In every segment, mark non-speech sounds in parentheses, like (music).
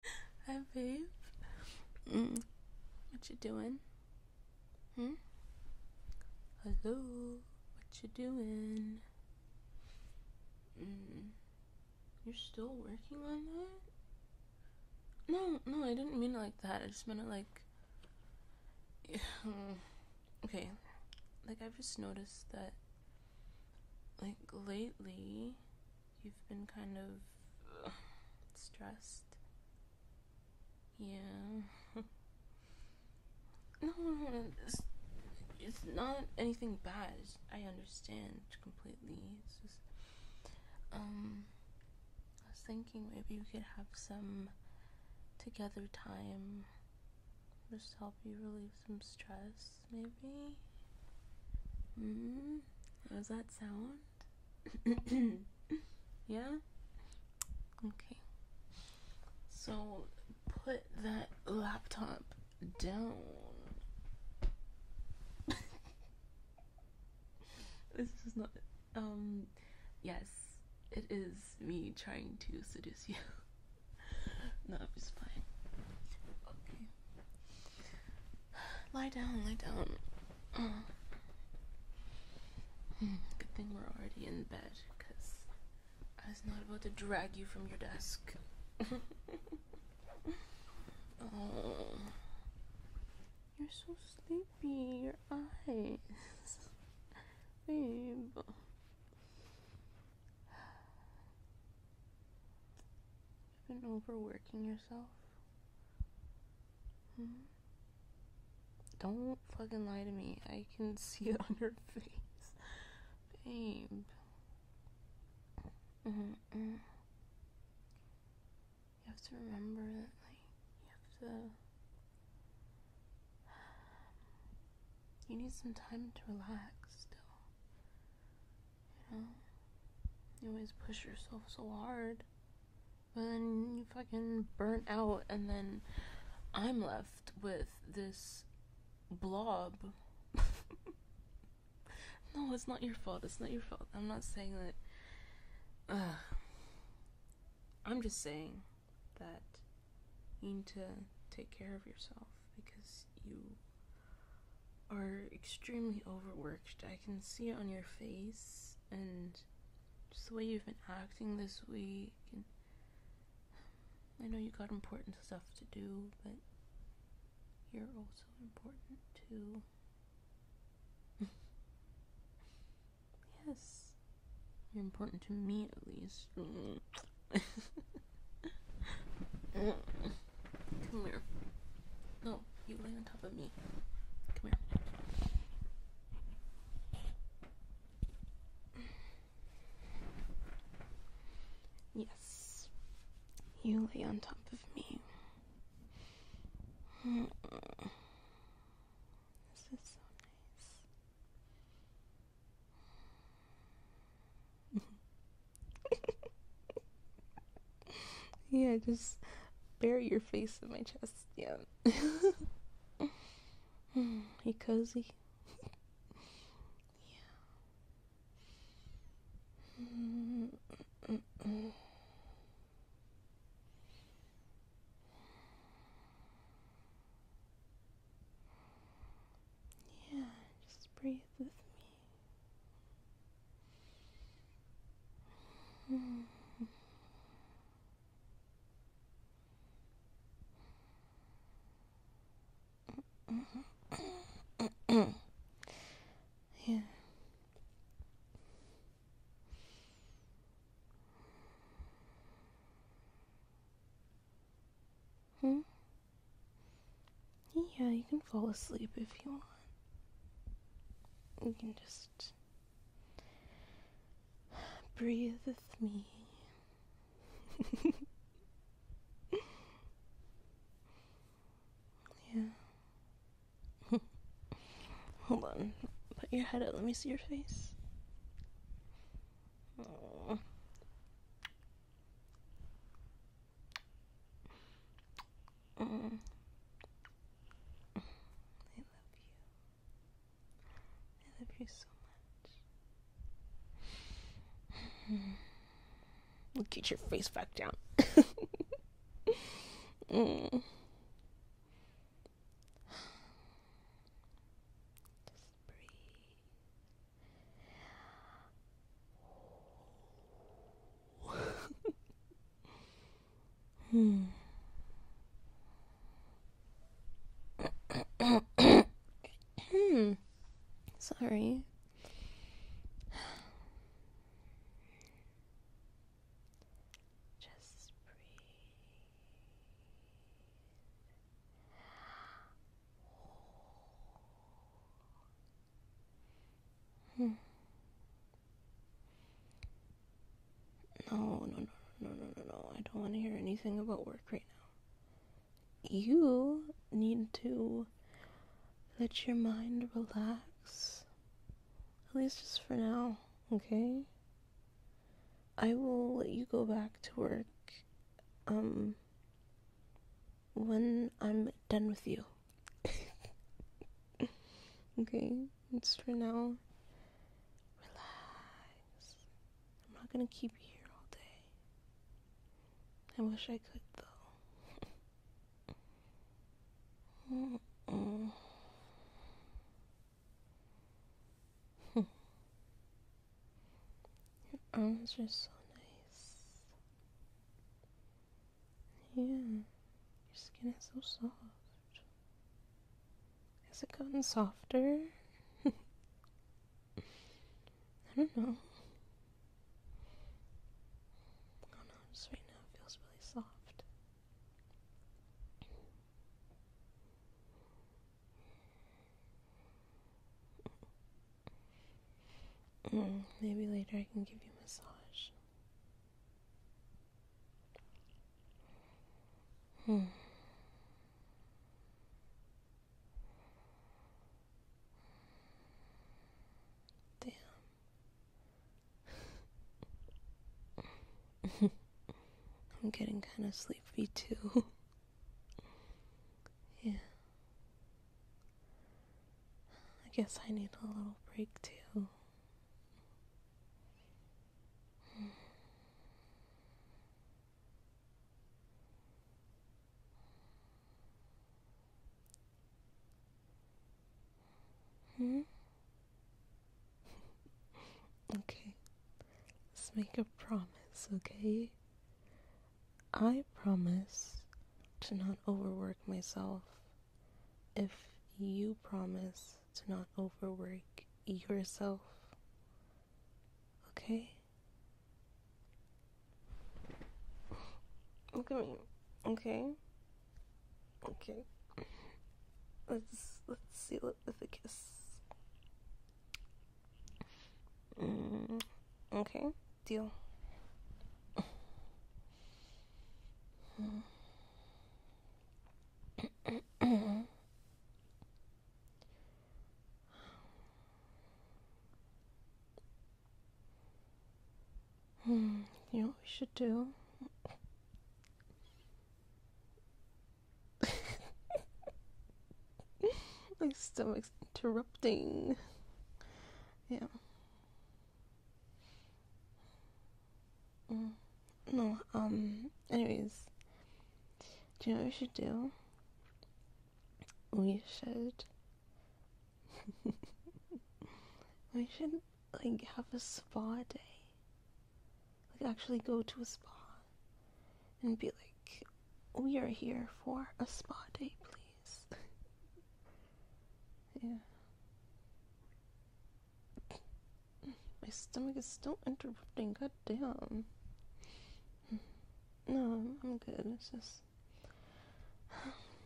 (laughs) Hi, babe. Mm. What you doing? Hmm? Hello. What you doing? Mm. You're still working on that? No, no, I didn't mean it like that. I just meant it like. (sighs) okay. Like, I've just noticed that, like, lately, you've been kind of uh, stressed. Yeah. no, (laughs) no, no, it's, it's not anything bad. I understand completely. It's just, um, I was thinking maybe we could have some together time. Just help you relieve some stress, maybe. Mm -hmm. How's that sound? (coughs) yeah? Okay. So put that laptop down. (laughs) this is not. Um, yes, it is me trying to seduce you. (laughs) no, I'm Okay. (sighs) Lie down, lie down. (sighs) Good thing we're already in bed, because I was not about to drag you from your desk. (laughs) Oh. You're so sleepy, your eyes. (laughs) Babe. You've been overworking yourself. Hmm? Don't fucking lie to me. I can (laughs) see it on your face. Babe. Mm-hmm, mm-hmm. You have to remember that, you have to. (sighs) You need some time to relax still. You know? You always push yourself so hard. But then you fucking burn out, and then I'm left with this blob. (laughs) no, it's not your fault. It's not your fault. I'm not saying that. I'm just saying that you need to take care of yourself because you are extremely overworked. I can see it on your face and just the way you've been acting this week. I know you got important stuff to do, but you're also important too. yes. You're important to me at least. (laughs) Come here. No, you lay on top of me. Come here. Yes. You lay on top of me. This is so nice. (laughs) (laughs) yeah, just bury your face in my chest. Yeah. (laughs) you cozy. yeah. Yeah, just breathe with me yeah. Hmm? Yeah, you can fall asleep if you want. You can just breathe with me. (laughs) yeah. (laughs) Hold on. Put your head up. Let me see your face. I love you. I love you so much. We'll get your face back down. (laughs) Just breathe. Hmm. (coughs) Sorry. Just breathe. Hmm. No, no, no, no, no, no, no. I don't want to hear anything about work right now. You need to let your mind relax. At least just for now, okay? I will let you go back to work um when I'm done with you okay, it's for now. Relax. I'm not gonna keep you here all day. I wish I could, though. mm (laughs) -mm. Your arms are so nice. Yeah, your skin is so soft. Has it gotten softer? (laughs) I don't know. Oh no, just right now it feels really soft. Mm, maybe later I can give you a massage. Hmm. Damn. (laughs) I'm getting kind of sleepy too. (laughs) yeah. I guess I need a little break too. Hmm? okay. Let's make a promise, okay? I promise to not overwork myself if you promise to not overwork yourself. Okay? Look at me. Okay? Okay. Let's let's seal it with a kiss. okay, deal. Hmm, you know what we should do? (laughs) My stomach's interrupting. Yeah. Mm, no, um, anyways, do you know what we should do? We should. (laughs) we should, like, have a spa day. Like, actually go to a spa and be like, we are here for a spa day, please. (laughs) yeah. My stomach is still interrupting, god damn. (sighs) No, I'm good. It's just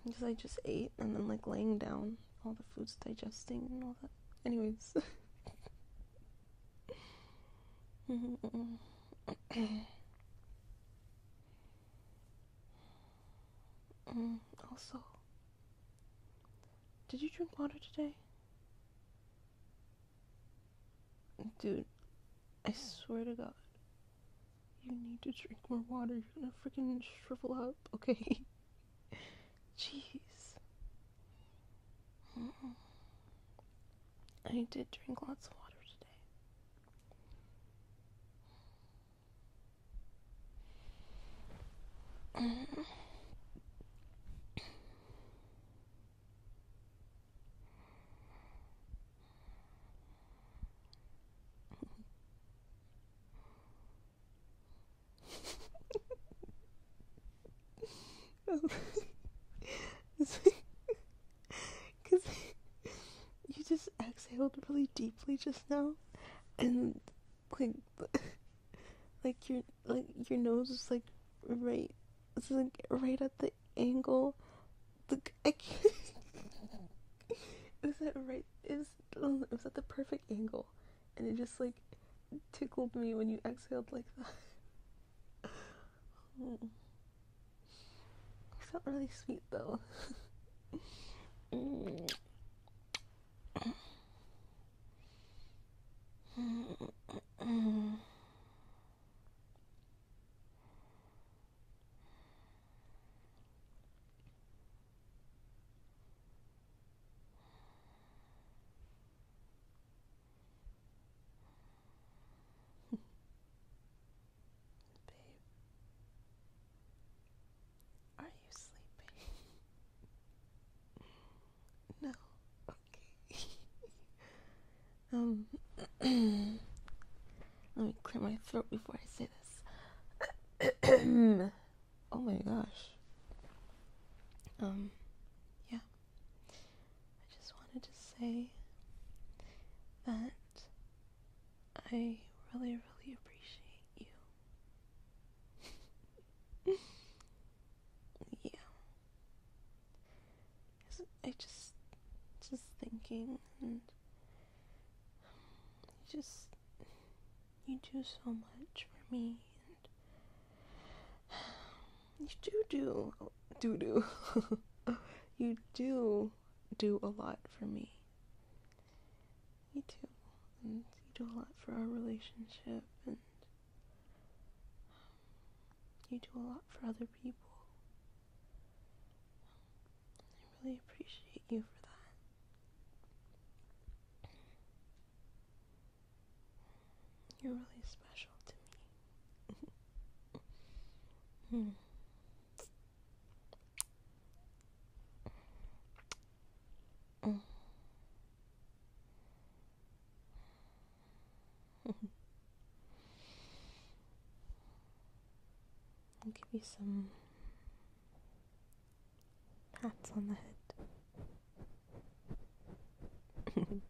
because (sighs) I just ate and then like laying down, all the food's digesting and all that. Anyways. (laughs) Mm-hmm. (clears throat) Mm-hmm. (clears throat) also, did you drink water today? Dude, I swear to God, you need to drink more water. You're gonna freaking shrivel up, okay? (laughs) Jeez. I did drink lots of water today. Because (laughs) you just exhaled really deeply just now, and like (laughs) like your like your nose is like right it's like right at the angle Look, I can't (laughs) is that right is was at the perfect angle and it just like tickled me when you exhaled like that oh. (laughs) it felt really sweet though mm. Babe, are you sleeping? No, okay. (laughs) um, (clears throat) let me clear my throat before I say this. (clears throat) oh my gosh. Um, yeah. I just wanted to say that I really, really appreciate you. (laughs) yeah. I just, just thinking, and you just, you do so much for me, you do do, do do, (laughs) you do do a lot for me, you too. And you do a lot for our relationship, and um, you do a lot for other people. I really appreciate you for that. You're really special to me. (laughs) Hmm. (laughs) I'll give you some pats on the head. (laughs)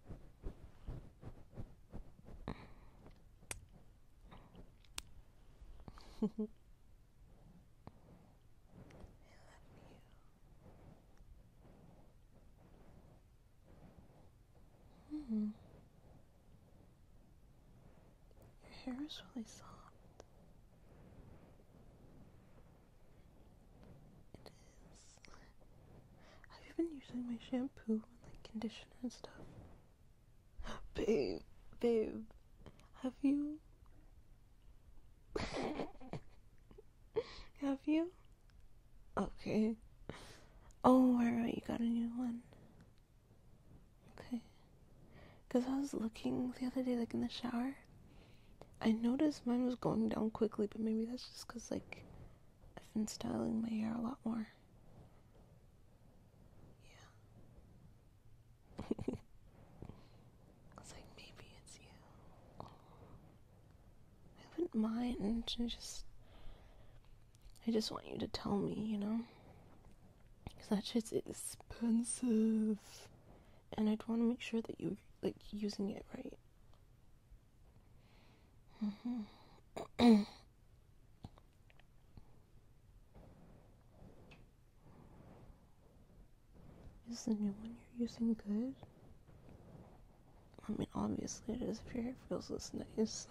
Hmm. Your hair is really soft. It is. I've been using my shampoo and like conditioner and stuff. (gasps) babe, babe, have you (laughs) Have you? Okay. Oh, alright, you got a new one. Okay. Because I was looking the other day, like in the shower. I noticed mine was going down quickly, but maybe that's just because, like, I've been styling my hair a lot more. Yeah. (laughs) I like, maybe it's you. I wouldn't mind. I just, I just want you to tell me, you know? Because that shit's expensive. And I'd want to make sure that you're, like, using it right. Mm-hmm. (clears throat) Is the new one you're using good? I mean, obviously it is if your hair feels this nice.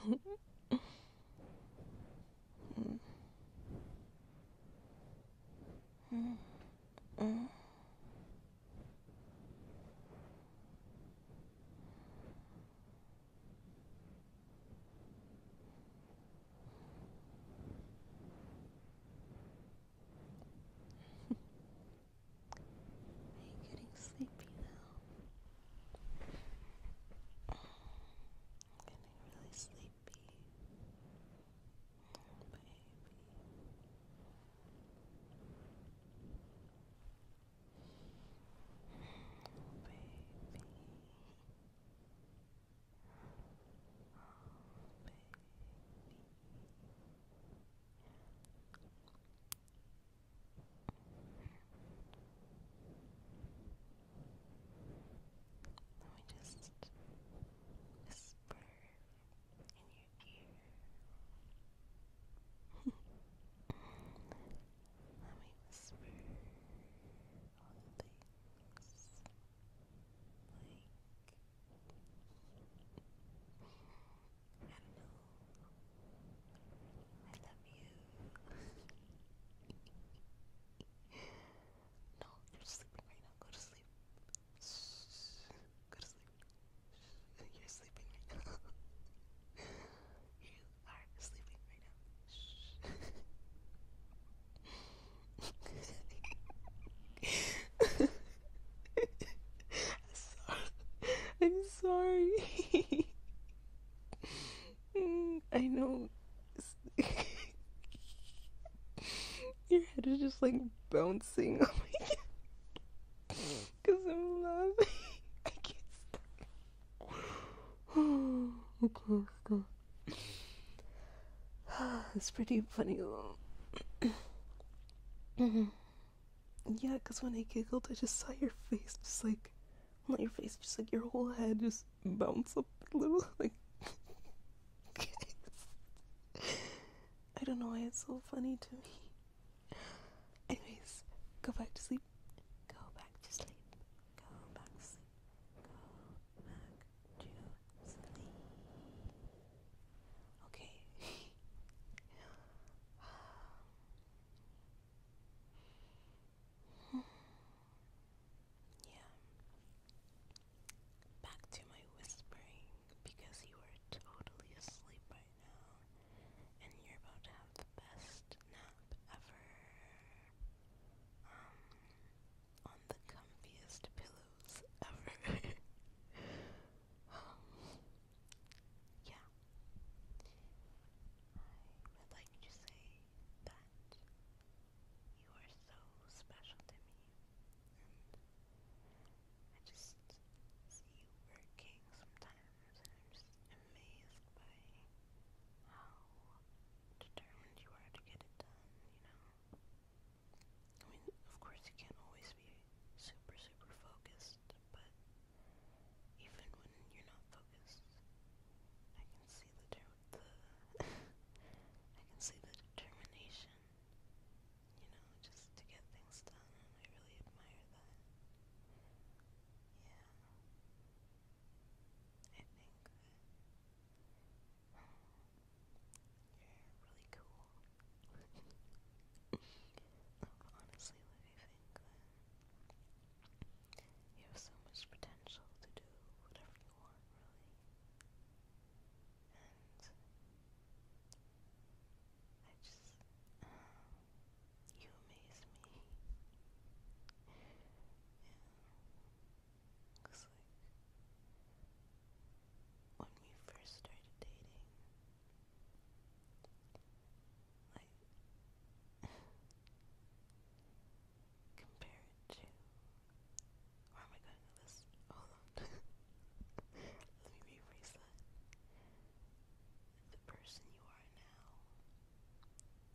Are you getting sleepy now? getting really sleepy. Oh, baby. baby. baby. Let me just whisper in your ear. Let me whisper all the things like I love you. (laughs) no, you're sleeping right now. Go to sleep. Go to sleep. You're sleeping right now. you are sleeping right now. (laughs) I'm sorry. (laughs) I know. (laughs) Your head is just like bouncing. Because I'm loving. I can't stop. (sighs) okay, go. (sighs) it's pretty funny though. (clears throat) Yeah, because when I giggled, I just saw your face, just like, not your face, just like your whole head just bounce up a little. (laughs) Like, I don't know why it's so funny to me. Anyways, go back to sleep. Go back to sleep. Go back to sleep. Go back to sleep. Okay. (laughs) yeah. Back to my whispering because you are totally asleep right now and you're about to have the best nap ever. Um, on the comfiest pillows ever. (laughs) (gasps) yeah. I would like to say that you are so special to me, and I just see you working sometimes, and I'm just amazed by how determined you are to get it done, you know? I mean, of course, you can't always be super, super focused, but even when you're not focused, I can see the (laughs) determination, you know, just to get things done, I really admire that. Yeah, I think that. Hmm, really cool honestly, like, I think that uh, you have so much potential to do whatever you want, really. And I just, um, you amaze me. yeah. Cause like, when we first started dating, like, to. Where am I going with this? Hold on. (laughs) Let me rephrase that. The person you are now,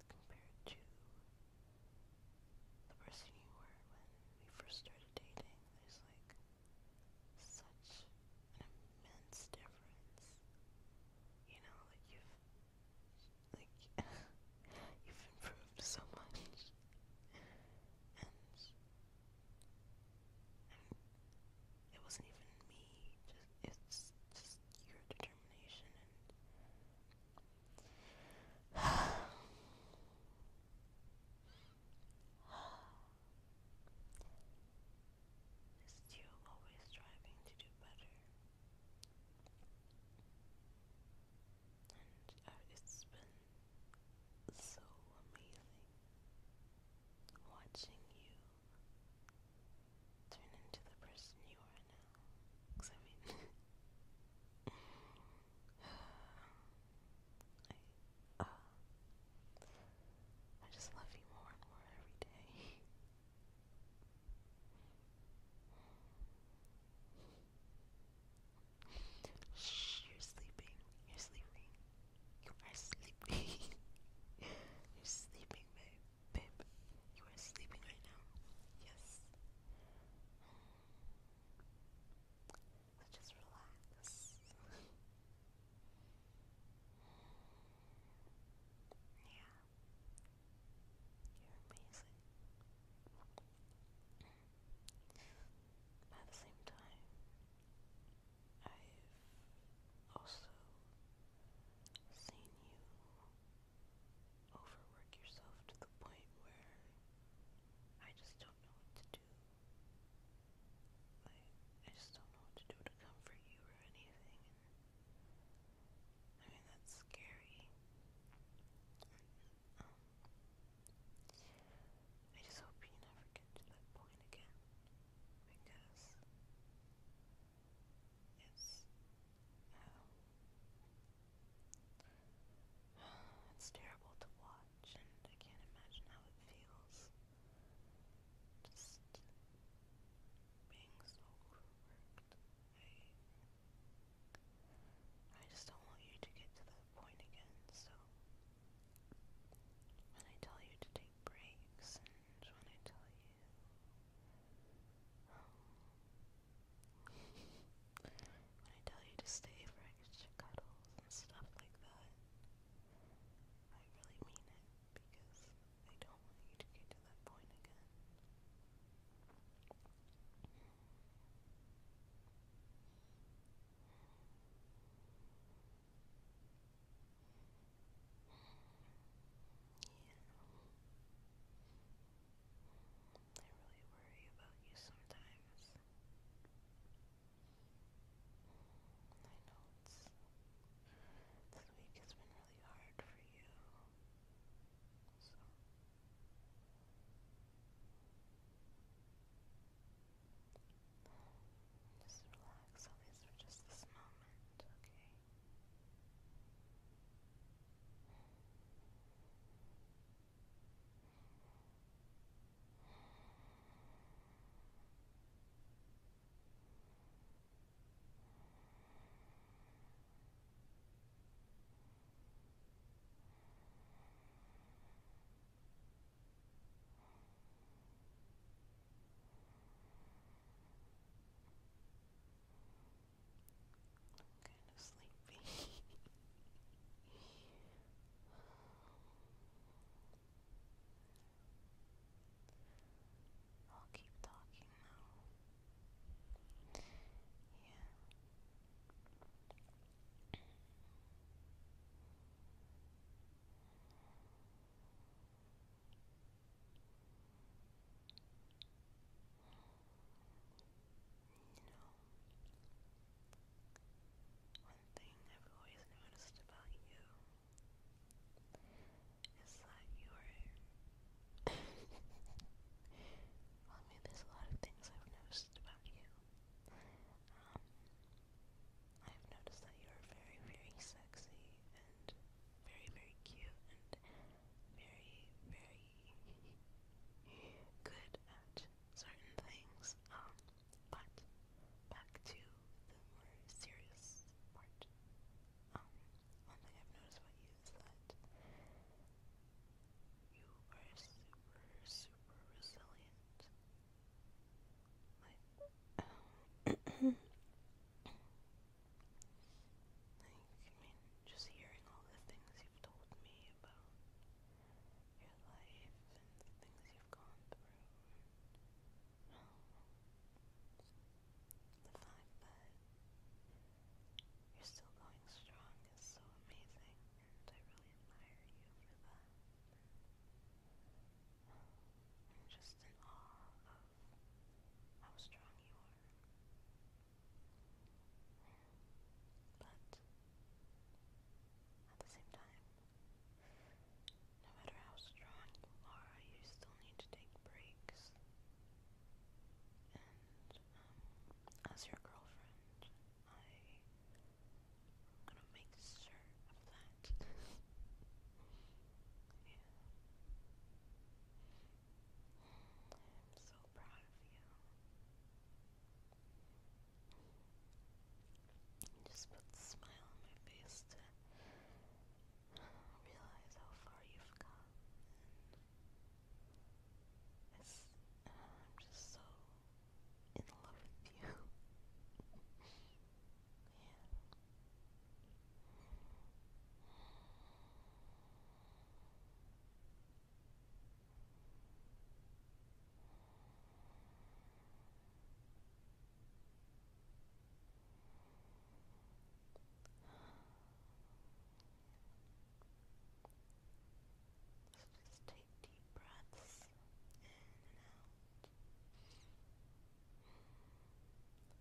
compared to the person you were when we first started dating, there's like such an immense difference. You know, like you've like (laughs) you've improved so much. And it wasn't even me. Just it's just your determination (sighs) (sighs) Is always striving to do better? And uh, it's been so amazing watching you turn into the person you are now. (laughs) (sighs) Uh, I, just love you more and more every day. you're sleeping. You're sleeping. You are sleeping. (laughs) you're sleeping, babe. Babe, you are sleeping right now. Yes. So just relax. yeah. You're amazing. at the same time, I've also seen you overwork yourself to the point where I just don't know what to do. I just don't know what to do to comfort you or anything. I mean, that's scary. Um, I just hope you never get to that point again. Because it's um, (sighs) it's terrible to watch, and I can't imagine how it feels. Just being so overworked. I, just don't want you to get to that point again, so when I tell you to take breaks and when I tell you um, (laughs) when I tell you to stay for extra cuddles and stuff like that, I really mean it because I don't want you to get to that point again. Yeah. I really worry about you sometimes. I know it's, this week has been really hard for you, Just relax, at just this moment, okay? I'm kind of sleepy. (laughs) I'll keep talking now. Yeah. one thing I've always noticed about you is that you are. (laughs) well, I mean, there's a lot of things I've noticed about you. Um, I've noticed that you are very, very sexy and very, very cute and very, very (laughs) good at certain things. Um, but back to the more serious part. Um, one thing I've noticed about you is that you are super, super resilient. Like, (clears throat) just hearing all the things you've told me about your life and the things you've gone through, the fact that you're still going strong is so amazing, and I really admire you for that. just in awe of how strong you are. But at the same time, no matter how strong you are, you still need to take breaks. And um, as your girlfriend, I am gonna make sure of that. (laughs) yeah. I'm so proud of you. just put a smile on my face realize how far you've come. it's, I'm just so in love with you. (laughs) yeah. So just take deep breaths in and out.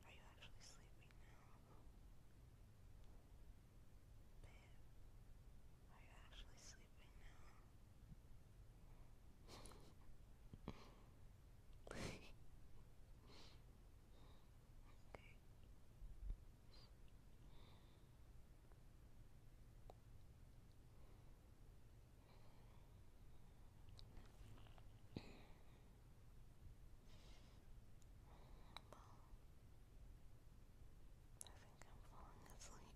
Are you actually sleeping now? Babe, are you actually sleeping now? (laughs) I think I'm falling asleep.